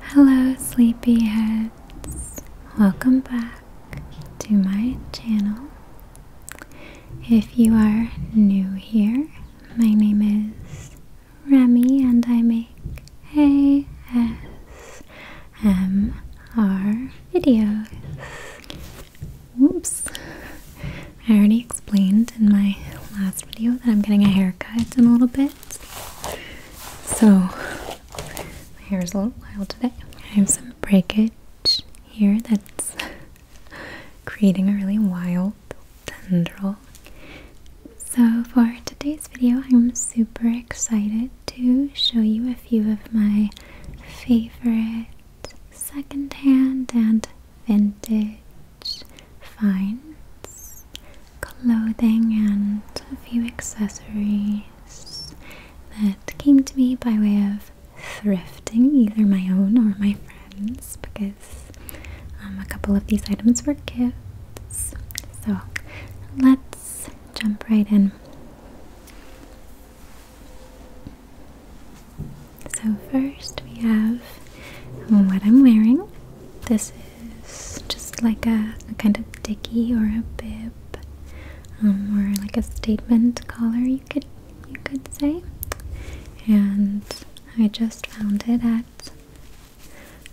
Hello, sleepyheads. Welcome back to my channel. If you are new here, my name is Remy and I make ASMR videos. Whoops. I already explained in my last video that I'm getting a haircut in a little bit. So, my hair is a little wild today. I have some breakage here that's creating a really wild tendril. So, for today's video, I'm super excited to show you a few of my favorite secondhand and vintage finds clothing and a few accessories that came to me by way of thrifting, either my own or my friends, because um, a couple of these items were gifts. So let's jump right in. So, first we have what I'm wearing. This is just like a, kind of dicky or a bib, um, or like a statement collar, you could you could say. And I just found it at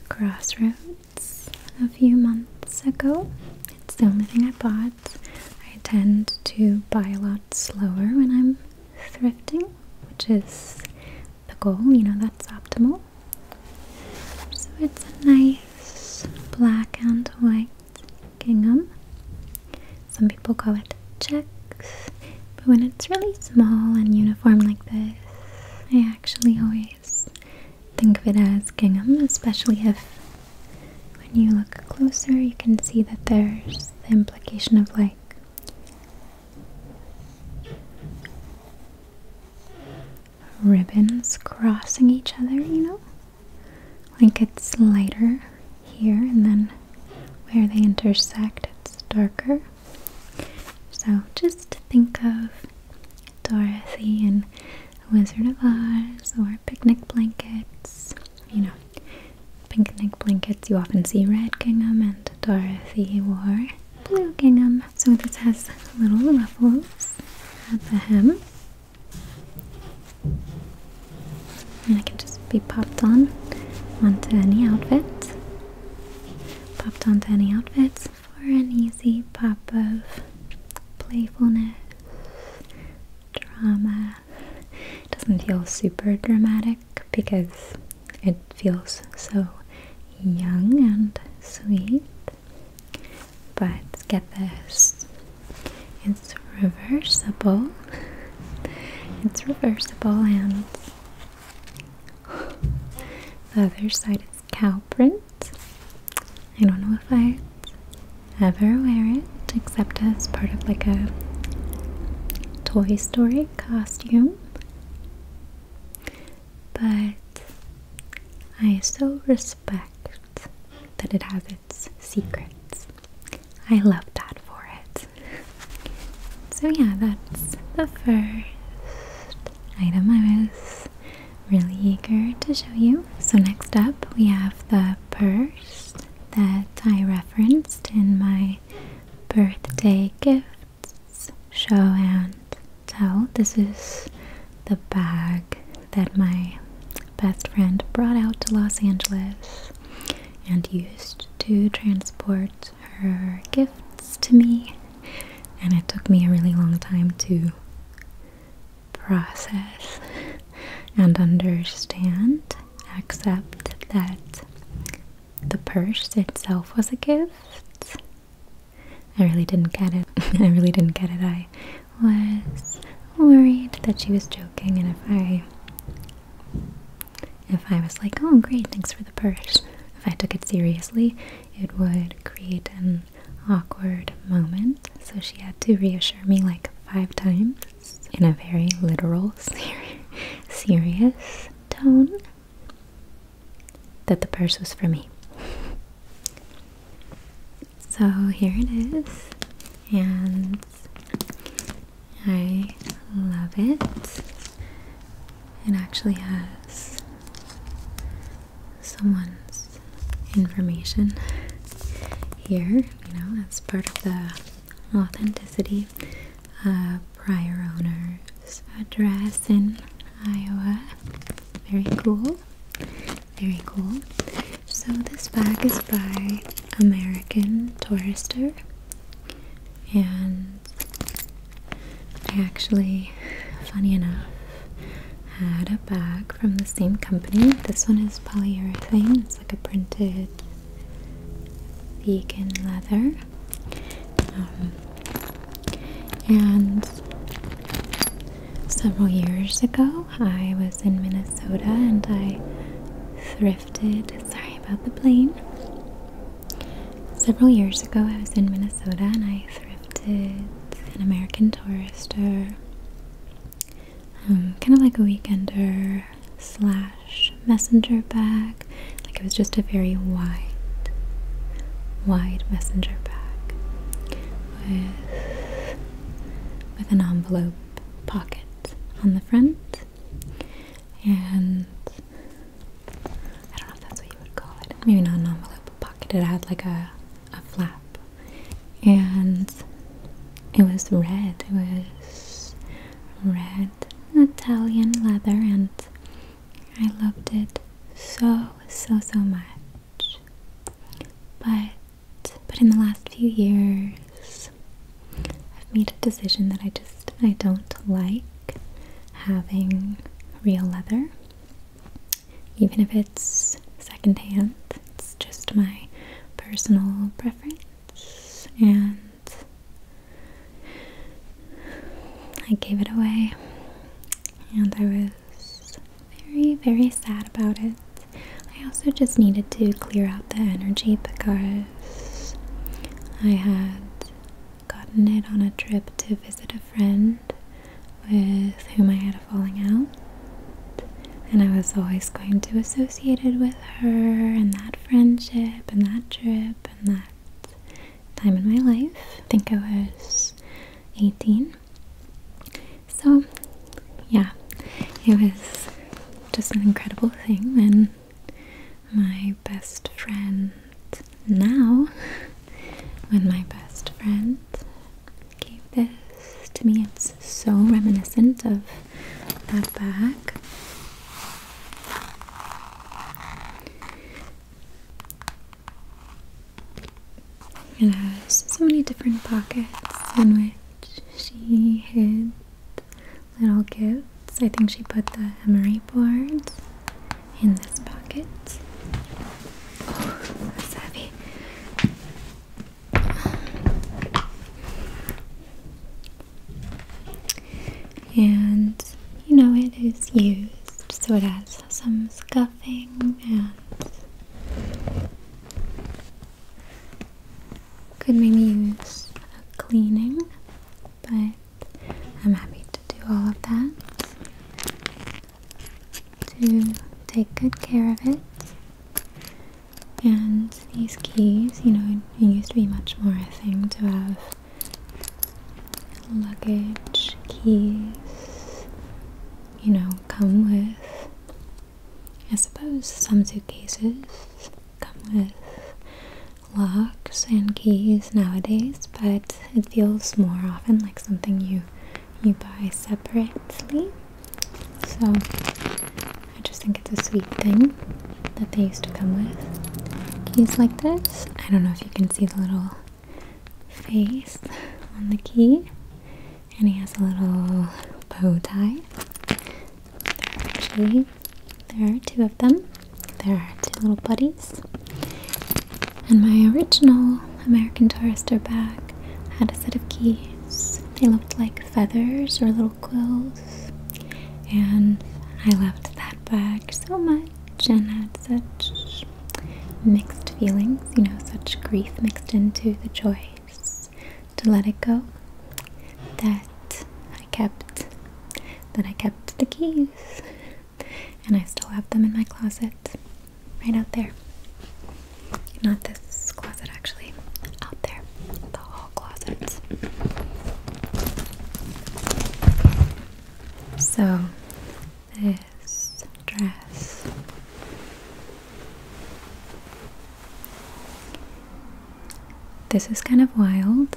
Crossroads a few months ago. It's the only thing I bought. I tend to buy a lot slower when I'm thrifting, which is the goal, you know, that's optimal. So it's a nice black and white gingham. Some people call it checks, but when it's really small and uniform like this, I actually always think of it as gingham, especially if when you look closer you can see that there's the implication of like ribbons crossing each other, you know? Like it's lighter here, and then where they intersect, it's darker. So just think of Dorothy and Wizard of Oz or picnic blankets, you know. Picnic blankets, you often see red gingham, and Dorothy wore blue gingham so this has little ruffles at the hem. And it can just be popped on onto any outfit. Popped onto any outfit for an easy pop of playfulness, drama. doesn't feel super dramatic because it it feels so young and sweet. But get this it's reversible. it's reversible, and the other side is cow print. I don't know if I ever wear it except as part of like a Toy Story costume but I so respect that it has its secrets. I love that for it. So, yeah, that's the first item I was really eager to show you. So, next up, we have the purse that I referenced in my birthday gift show and tell. This is the bag that my best friend brought out to Los Angeles and used to transport her gifts to me. And it took me a really long time to process and understand, accept that the purse itself was a gift I really didn't get it. I really didn't get it. I was worried that she was joking and if I if I was like, "Oh, great, thanks for the purse." If I took it seriously, it would create an awkward moment. So she had to reassure me like five times in a very literal, serious tone that the purse was for me. so here it is, and I love it. It actually has someone's information here, you know, as part of the authenticity prior owner's address in Iowa. Very cool. Very cool. So this bag is by American Tourister and I actually, funny enough, had a bag from the same company. This one is polyurethane. It's like a printed vegan leather. Um, and several years ago I was in Minnesota and I thrifted sorry about the plane several years ago I was in Minnesota and I thrifted an American Tourister um, kind of like a weekender slash messenger bag like it was just a very wide, wide messenger bag with with an envelope pocket on the front, and I don't know if that's what you would call it. Maybe not an envelope pocket. It had like a a flap, and it was red. It was red Italian leather and I loved it so, so, so much. But, but in the last few years, I've made a decision that I just, I don't like having real leather. Even if it's secondhand, it's just my personal preference. And I gave it away, and I was very, very sad about it. I also just needed to clear out the energy because I had gotten it on a trip to visit a friend with whom I had a falling out, and I was always going to associate it with her and that friendship and that trip and that time in my life. I think I was 18. So, yeah, it was just an incredible thing. And my best friend now, when my best friend gave this to me, it's so reminiscent of that bag. It has so many different pockets in which she hid little gifts. I think she put the emery boards in this pocket. Oh, that's heavy and you know it is used so it has some scuffing and could maybe use a cleaning but I'm happy to do all of that to take good care of it and these keys, you know, used to be much more a thing to have luggage, keys, you know, come with. I suppose some suitcases come with locks and keys nowadays, but it feels more often like something you you buy separately. So I just think it's a sweet thing that they used to come with. Keys like this. I don't know if you can see the little face on the key, and he has a little bow tie. Actually, there are two of them. There are two little buddies. And my original American Tourister bag had a set of keys. They looked like feathers or little quills. And I loved that bag so much much and had such mixed feelings, you know, such grief mixed into the joys to let it go that I kept that I kept the keys and I still have them in my closet right out there. Not this closet actually, out there. The whole closet. So, this dress this is kind of wild.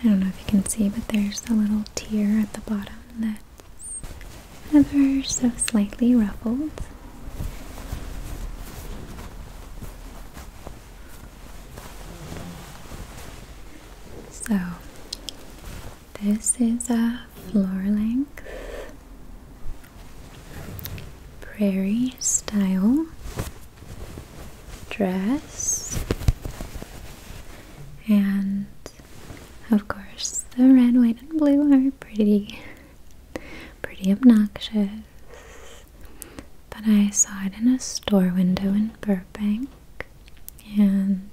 I don't know if you can see, but there's a little tear at the bottom that's ever so slightly ruffled. So, this is a floor length prairie style dress, and of course, the red, white, and blue are pretty, pretty obnoxious. But I saw it in a store window in Burbank and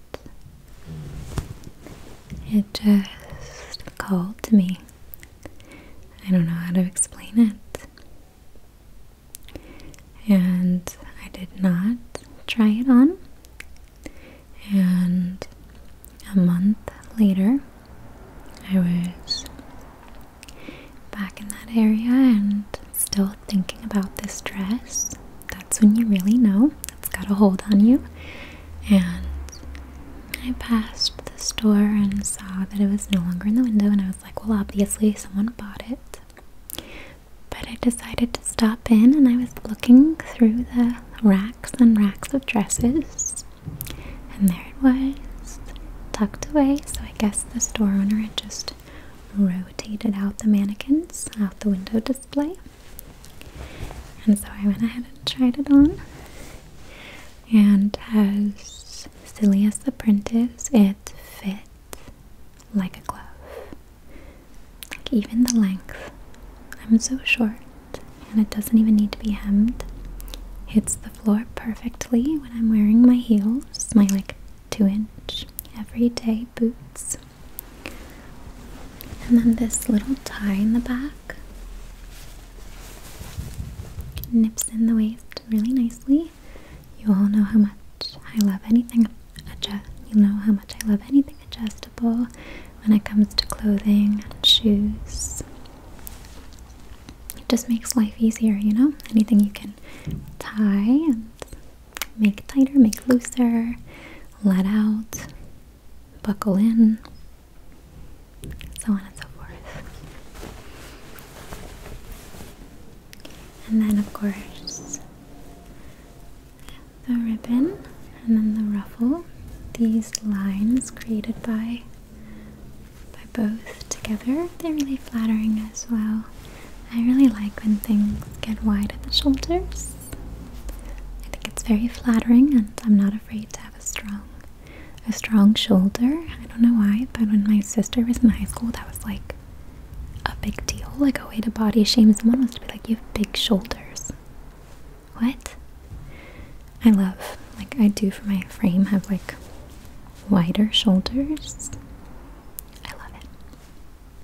it just called to me. I don't know how to explain it. And I did not try it on. And a month later, I was back in that area and still thinking about this dress, that's when you really know it's got a hold on you. And I passed the store and saw that it was no longer in the window, and I was like, well, obviously, someone bought it. But I decided to stop in and I was looking through the racks and racks of dresses, and there it was, tucked away so I guess the store owner had just rotated out the mannequins out the window display. And so I went ahead and tried it on. And as silly as the print is, it fit like a glove. Like even the length. I'm so short and it doesn't even need to be hemmed. It's floor perfectly when I'm wearing my heels, my like two inch everyday boots. And then this little tie in the back nips in the waist really nicely. You all know how much I love anything adjust. You know how much I love anything adjustable when it comes to clothing and shoes it just makes life easier, you know? Anything you can tie and make tighter, make looser, let out, buckle in, so on and so forth. And then, of course, the ribbon and then the ruffle. These lines created by by both together. They're really flattering as well. I really like when things get wide at the shoulders. I think it's very flattering and I'm not afraid to have a strong a strong shoulder. I don't know why, but when my sister was in high school that was like a big deal. Like a way to body shame someone was to be like, you have big shoulders. What? I love, like I do for my frame have like wider shoulders. I love it.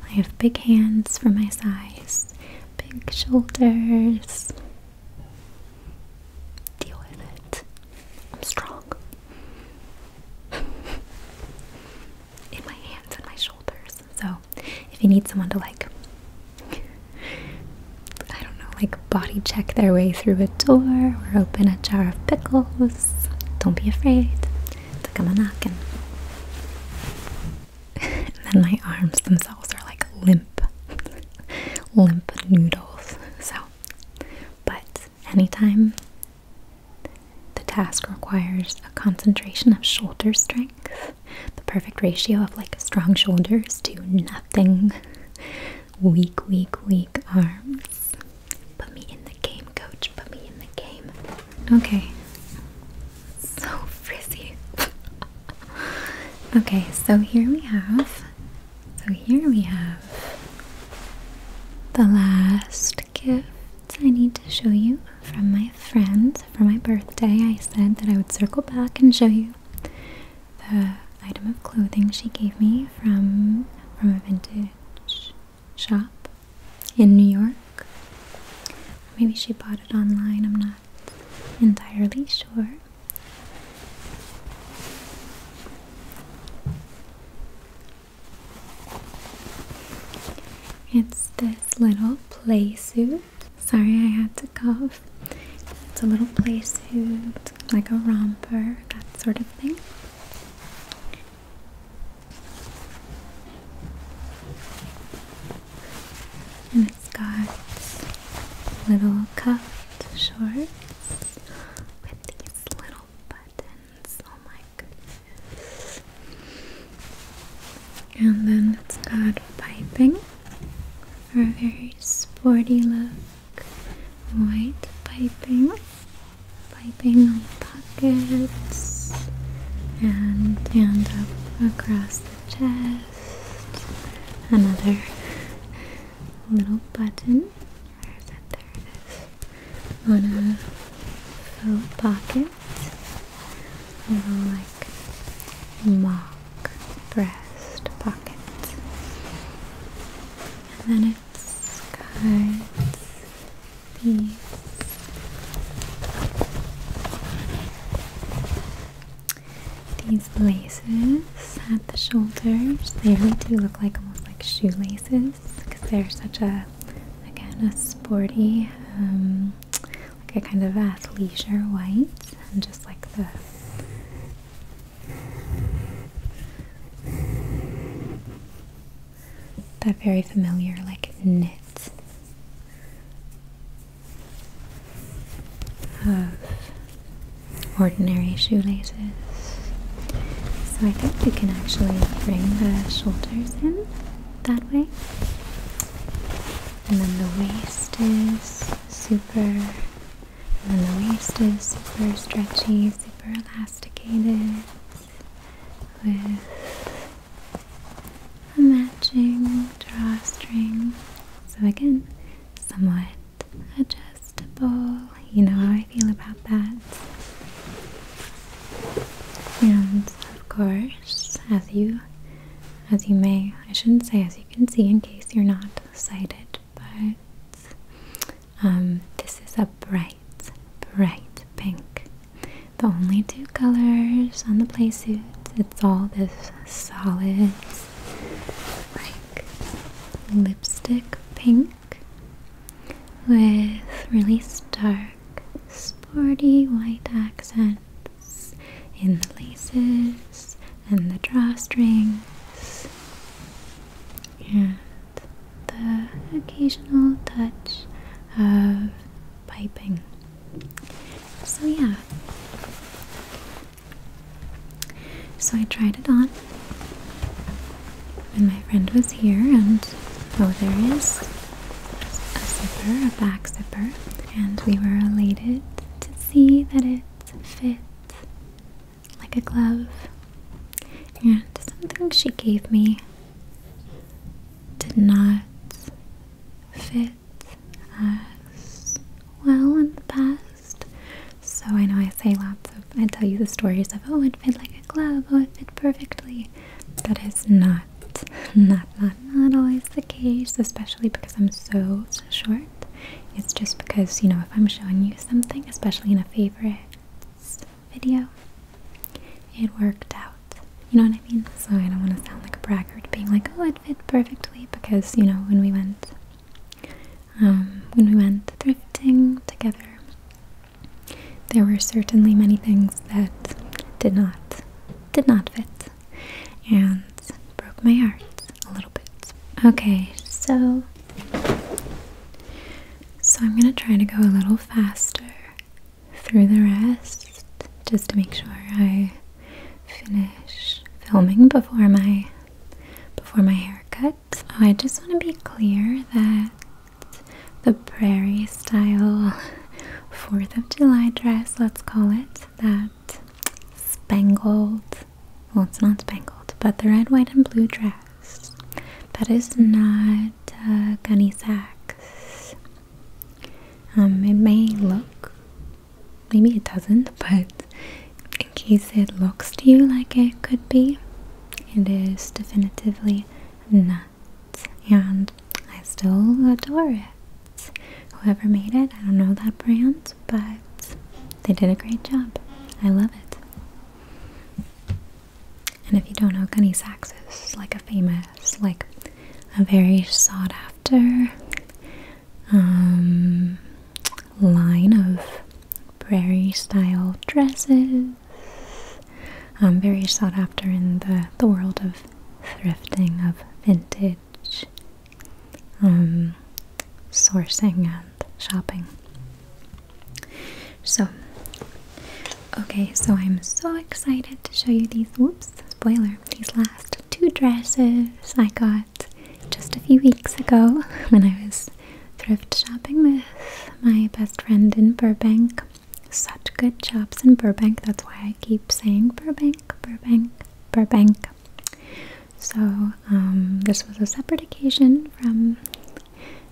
I have big hands for my size, big shoulders. Deal with it. I'm strong. In my hands and my shoulders. So, if you need someone to like, I don't know, like body check their way through a door or open a jar of pickles. Don't be afraid to come a knocking. and then my arms themselves are like limp, limp noodles. So, but anytime the task requires a concentration of shoulder strength, the perfect ratio of like strong shoulders to nothing. Weak, weak, weak arms. Put me in the game, coach. Put me in the game. Okay. So frizzy. okay, so here we have. So here we have the last gift I need to show you from my friend for my birthday. I said that I would circle back and show you the item of clothing she gave me from from a vintage shop in New York. Maybe she bought it online, I'm not entirely sure. It's this little play suit. Sorry, I had to cough. It's a little play suit, like a romper, that sort of thing. And it's got little cut shorts with these little buttons. Oh my goodness. And then it's got piping for a very sporty look white piping, piping on pockets, and and up across the chest. Another little button. Where is it? There it is. On a faux pocket. little like mock breast pockets, And then it cards, these. These laces at the shoulders, they really do look like almost like shoelaces because they're such a, again, a sporty, um, like a kind of athleisure white and just like the that very familiar, like knit of ordinary shoelaces. So I think you can actually bring the shoulders in that way. And then the waist is super, and then the waist is super stretchy, super elastic domesticated with a matching drawstring. So, again, somewhat adjustable. You know how I feel about that. And of course, as you as you may, I shouldn't say as you can see in case you're not sighted, but um, this is a bright, bright pink. The only two colors on the playsuit. It's all this solid, like lipstick pink with really stark, sporty white accents in the laces and the drawstrings and the occasional touch of piping. So, yeah. So, I tried it on and my friend was here, and oh, there is a zipper, a back zipper, and we were elated to see that it fit like a glove. And something she gave me did not fit as well in the past. So I know I say lots of, I tell you the stories of, oh, it fit like a glove, oh, it fit perfectly. That is not, not, not, not always the case, especially because I'm so, so short. It's just because, you know, if I'm showing you something, especially in a favorite video. It worked out. You know what I mean? So I don't want to sound like a braggart being like, oh, it fit perfectly because, you know, when we went um, when we went thrifting together, there were certainly many things that did not did not fit and broke my heart a little bit. Okay, so so I'm going to try to go a little faster through the rest just to make sure I finish filming before my before my haircut. Oh, I just want to be clear that the prairie style 4th of July dress, let's call it, that spangled well, it's not spangled, but the red, white, and blue dress. That is not uh, Gunny Sacks. Um, it may look, maybe it doesn't, but in case it looks to you like it could be, it is definitively not. And I still adore it. Whoever made it, I don't know that brand, but they did a great job. I love it. And if you don't know, gunny sax is like a famous, like a very sought after um, line of prairie style dresses. I'm um, very sought after in the, the world of thrifting, of vintage um, sourcing and shopping. So, okay, so I'm so excited to show you these. Whoops, spoiler, these last two dresses I got just a few weeks ago when I was thrift shopping with my best friend in Burbank. Such good jobs in Burbank, that's why I keep saying Burbank, Burbank, Burbank. So, um, this was a separate occasion from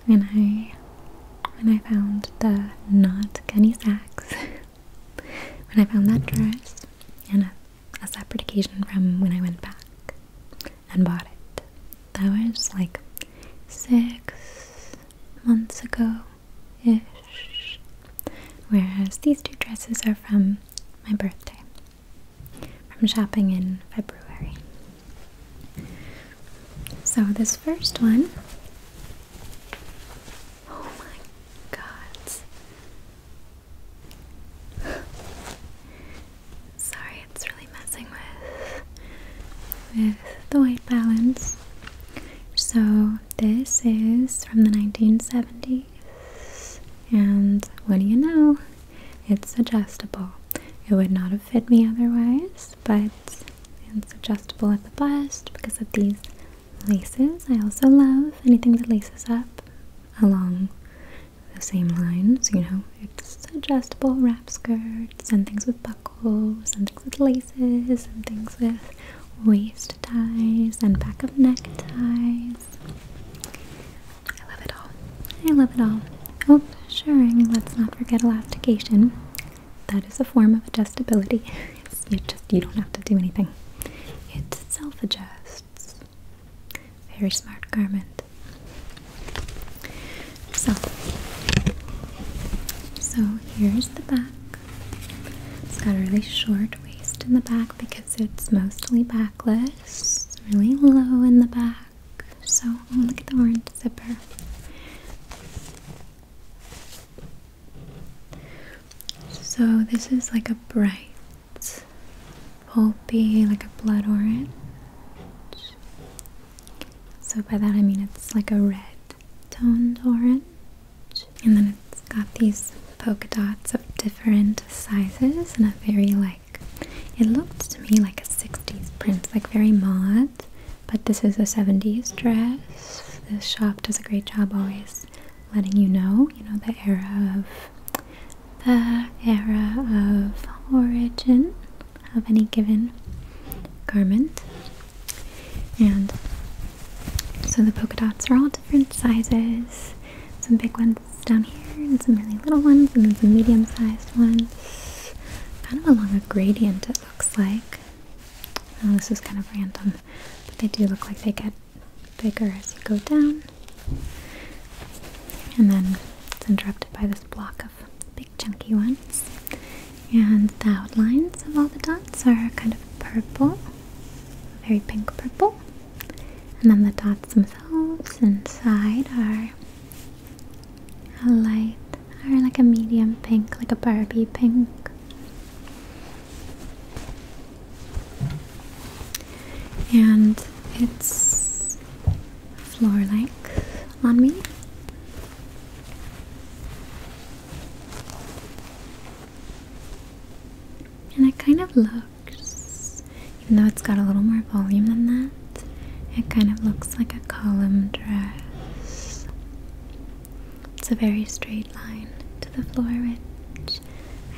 when I when I found the not Gunny Sacks when I found that mm-hmm. dress and a separate occasion from when I went back and bought it. That was like six months ago ish. Whereas these two dresses are from my birthday from shopping in February. So, this first one oh my god. Sorry, it's really messing with with the white balance. So this is from the 1970s, and what do you know? It's adjustable. It would not have fit me otherwise, but it's adjustable at the bust because of these laces. I also love anything that laces up along the same lines, you know. It's adjustable wrap skirts and things with buckles and things with laces and things with waist ties and back of neck ties. I love it all. I love it all. Oh, sure, let's not forget elastication. That is a form of adjustability. you just you don't have to do anything. It self-adjusts. Very smart garment. So, so here's the back. It's got a really short waist in the back because it's mostly backless. really low in the back. So, look at the orange zipper. So, this is like a bright, pulpy, like a blood orange. So, by that I mean it's like a red toned orange. And then it's got these polka dots of different sizes and a very light it looks to me like a 60s print, like very mod, but this is a 70s dress. This shop does a great job always letting you know, you know, the era of the era of origin of any given garment. And so the polka dots are all different sizes. Some big ones down here and some really little ones and then some medium-sized ones. Kind of along a gradient it looks like. Oh, this is kind of random, but they do look like they get bigger as you go down. And then it's interrupted by this block of big chunky ones. And the outlines of all the dots are kind of purple, very pink purple. And then the dots themselves inside are a light or like a medium pink, like a Barbie pink. And it's floor length on me. And it kind of looks even though it's got a little more volume than that, it kind of looks like a column dress. It's a very straight line to the floor, which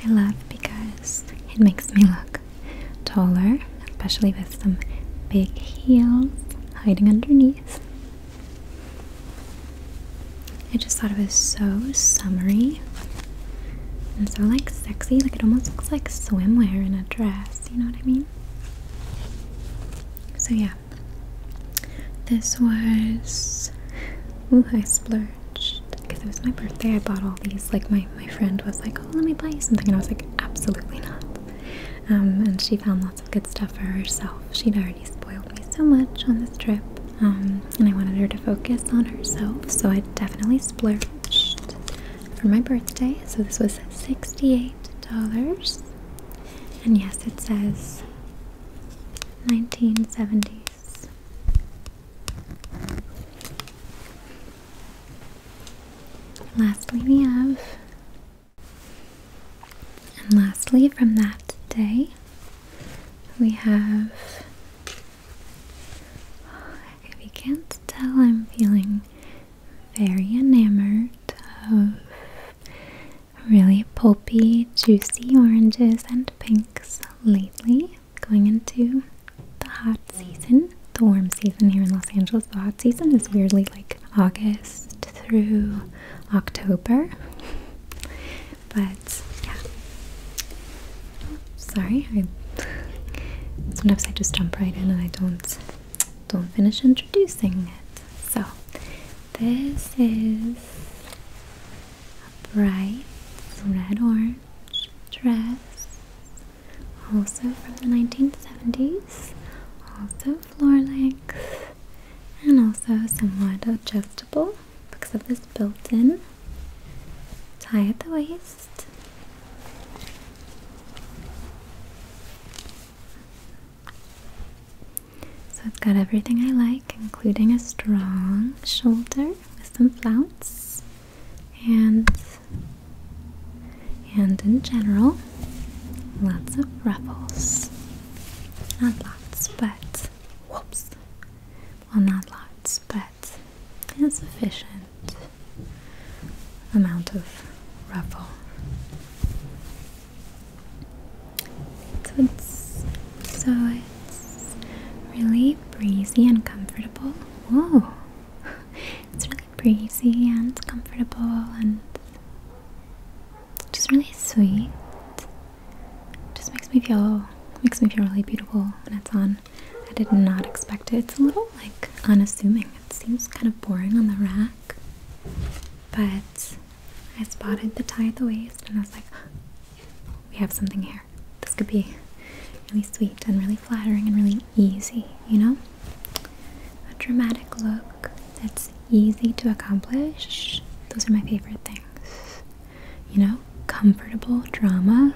I love because it makes me look taller, especially with some big heels hiding underneath. I just thought it was so summery and so like sexy. Like it almost looks like swimwear in a dress you know what I mean? So yeah. This was ooh, I splurged because it was my birthday. I bought all these. Like my, my friend was like, Oh, let me buy you something and I was like, absolutely not. Um, and she found lots of good stuff for herself. She'd already spoiled me so much on this trip. Um, and I wanted her to focus on herself, so I definitely splurged for my birthday. So this was $68. And yes, it says 1970s. lastly, we have. And lastly, from that day, we have. If you can't tell, I'm feeling very enamored of really pulpy, juicy oranges and pinks lately, going into the hot season, the warm season here in Los Angeles. The hot season is weirdly like August through October, but yeah, sorry I sometimes I just jump right in and I don't don't finish introducing it so this is a bright red orange dress also from the 1970s also floor length and also somewhat adjustable because of this built-in tie at the waist so it's got everything I like, including a strong shoulder with some flounce and and in general lots of ruffles. Not lots, but whoops. Well not lots, but it's sufficient amount of ruffle. So it's, really breezy and comfortable. Whoa! It's really breezy and comfortable and just really sweet. Just makes me feel makes me feel really beautiful when it's on. I did not expect it. It's a little like unassuming. It seems kind of boring on the rack. But I spotted the tie at the waist and I was like, oh, we have something here. This could be really sweet and really flattering and really easy, you know? A dramatic look that's easy to accomplish. Those are my favorite things. You know, comfortable drama.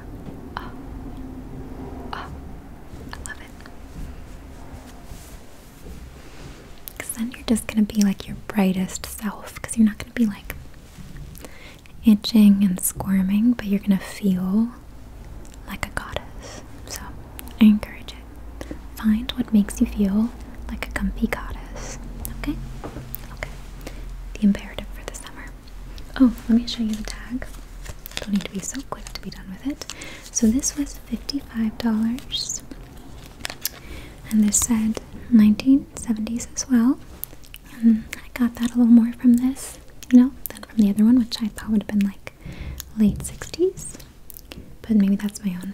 Oh, oh, I love because then you're just going to be like your brightest self, because you're not going to be like itching and squirming, but you're going to feel like a goddess. So I encourage it. Find what makes you feel like a comfy goddess. Okay? Okay. The imperative for the summer. Oh, let me show you the tag. Don't need to be so quick to be done with it. So this was $55. And this said 1970s as well. I got that a little more from this, you know, than from the other one, which I thought would have been like late 60s. But maybe that's my own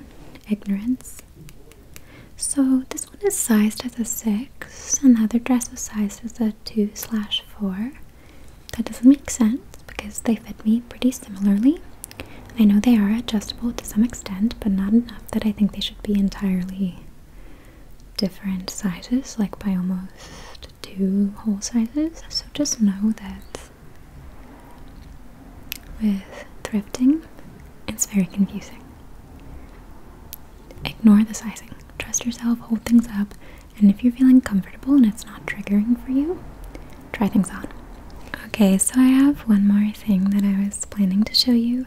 ignorance. So this one is sized as a 6, and the other dress was sized as a 2 slash 4. That doesn't make sense because they fit me pretty similarly. I know they are adjustable to some extent, but not enough that I think they should be entirely different sizes, like by almost two whole sizes. So just know that with thrifting, it's very confusing. Ignore the sizing. Trust yourself, hold things up, and if you're feeling comfortable and it's not triggering for you, try things on. Okay, so I have one more thing that I was planning to show you.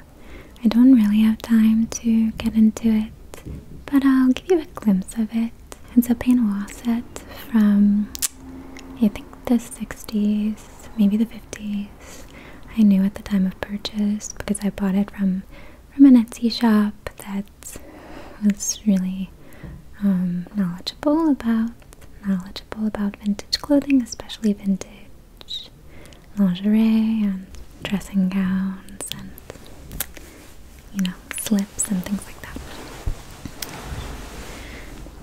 I don't really have time to get into it, but I'll give you a glimpse of it. It's a Painoa set from, I think, the 60s, maybe the 50s. I knew at the time of purchase because I bought it from from an Etsy shop that that was really um, knowledgeable about knowledgeable about vintage clothing, especially vintage lingerie and dressing gowns and you know slips and things like that.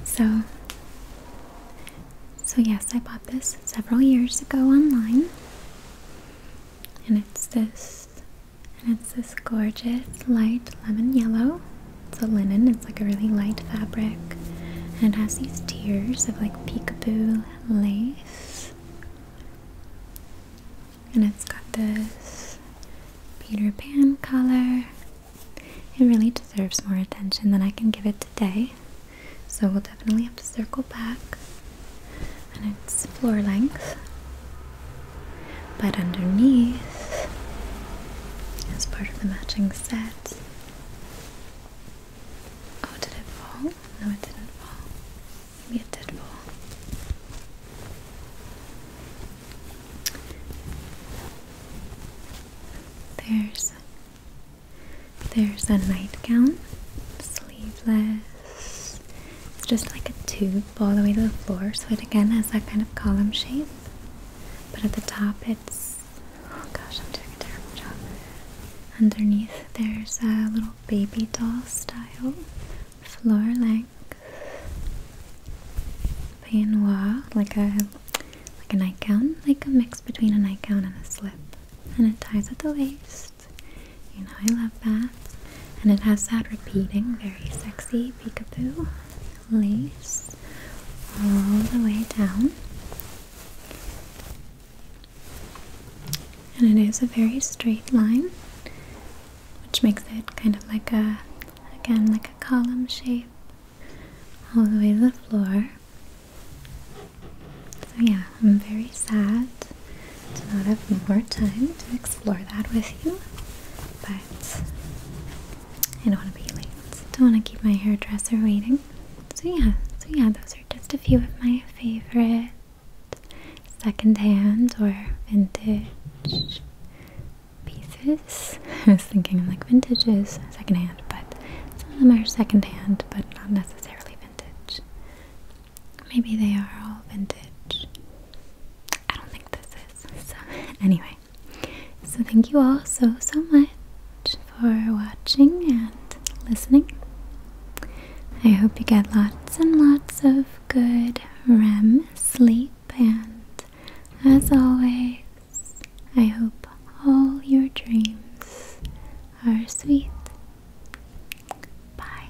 So so yes, I bought this several years ago online. And it's this and it's this gorgeous light lemon yellow. It's a linen, it's like a really light fabric. And it has these tiers of like peekaboo lace. And it's got this Peter Pan collar. It really deserves more attention than I can give it today. So we'll definitely have to circle back and it's floor length. But underneath, is part of the matching set, oh, did it fall? No, it didn't fall. Maybe it fall. There's there's a nightgown, sleeveless. It's just like a tube all the way to the floor, so it again has that kind of column shape. But at the top, it's oh gosh, I'm doing a terrible job. Underneath, there's a little baby doll style floor length peignoir, like a like a nightgown, like a mix between a nightgown and a slip, and it ties at the waist. You know, I love that. And it has that repeating, very sexy peek-a-boo lace all the way down. And it is a very straight line, which makes it kind of like a, again, like a column shape all the way to the floor. So, yeah, I'm very sad to not have more time to explore that with you, but I don't want to be late. Don't want to keep my hairdresser waiting. So yeah, so yeah, those are just a few of my favorite secondhand or vintage pieces. I was thinking like vintages, is secondhand, but some of them are secondhand, but not necessarily vintage. Maybe they are all vintage. I don't think this is. So, anyway. So, thank you all so, so much for watching and listening. I hope you get lots and lots of good REM sleep, and as always, I hope all your dreams are sweet. Bye.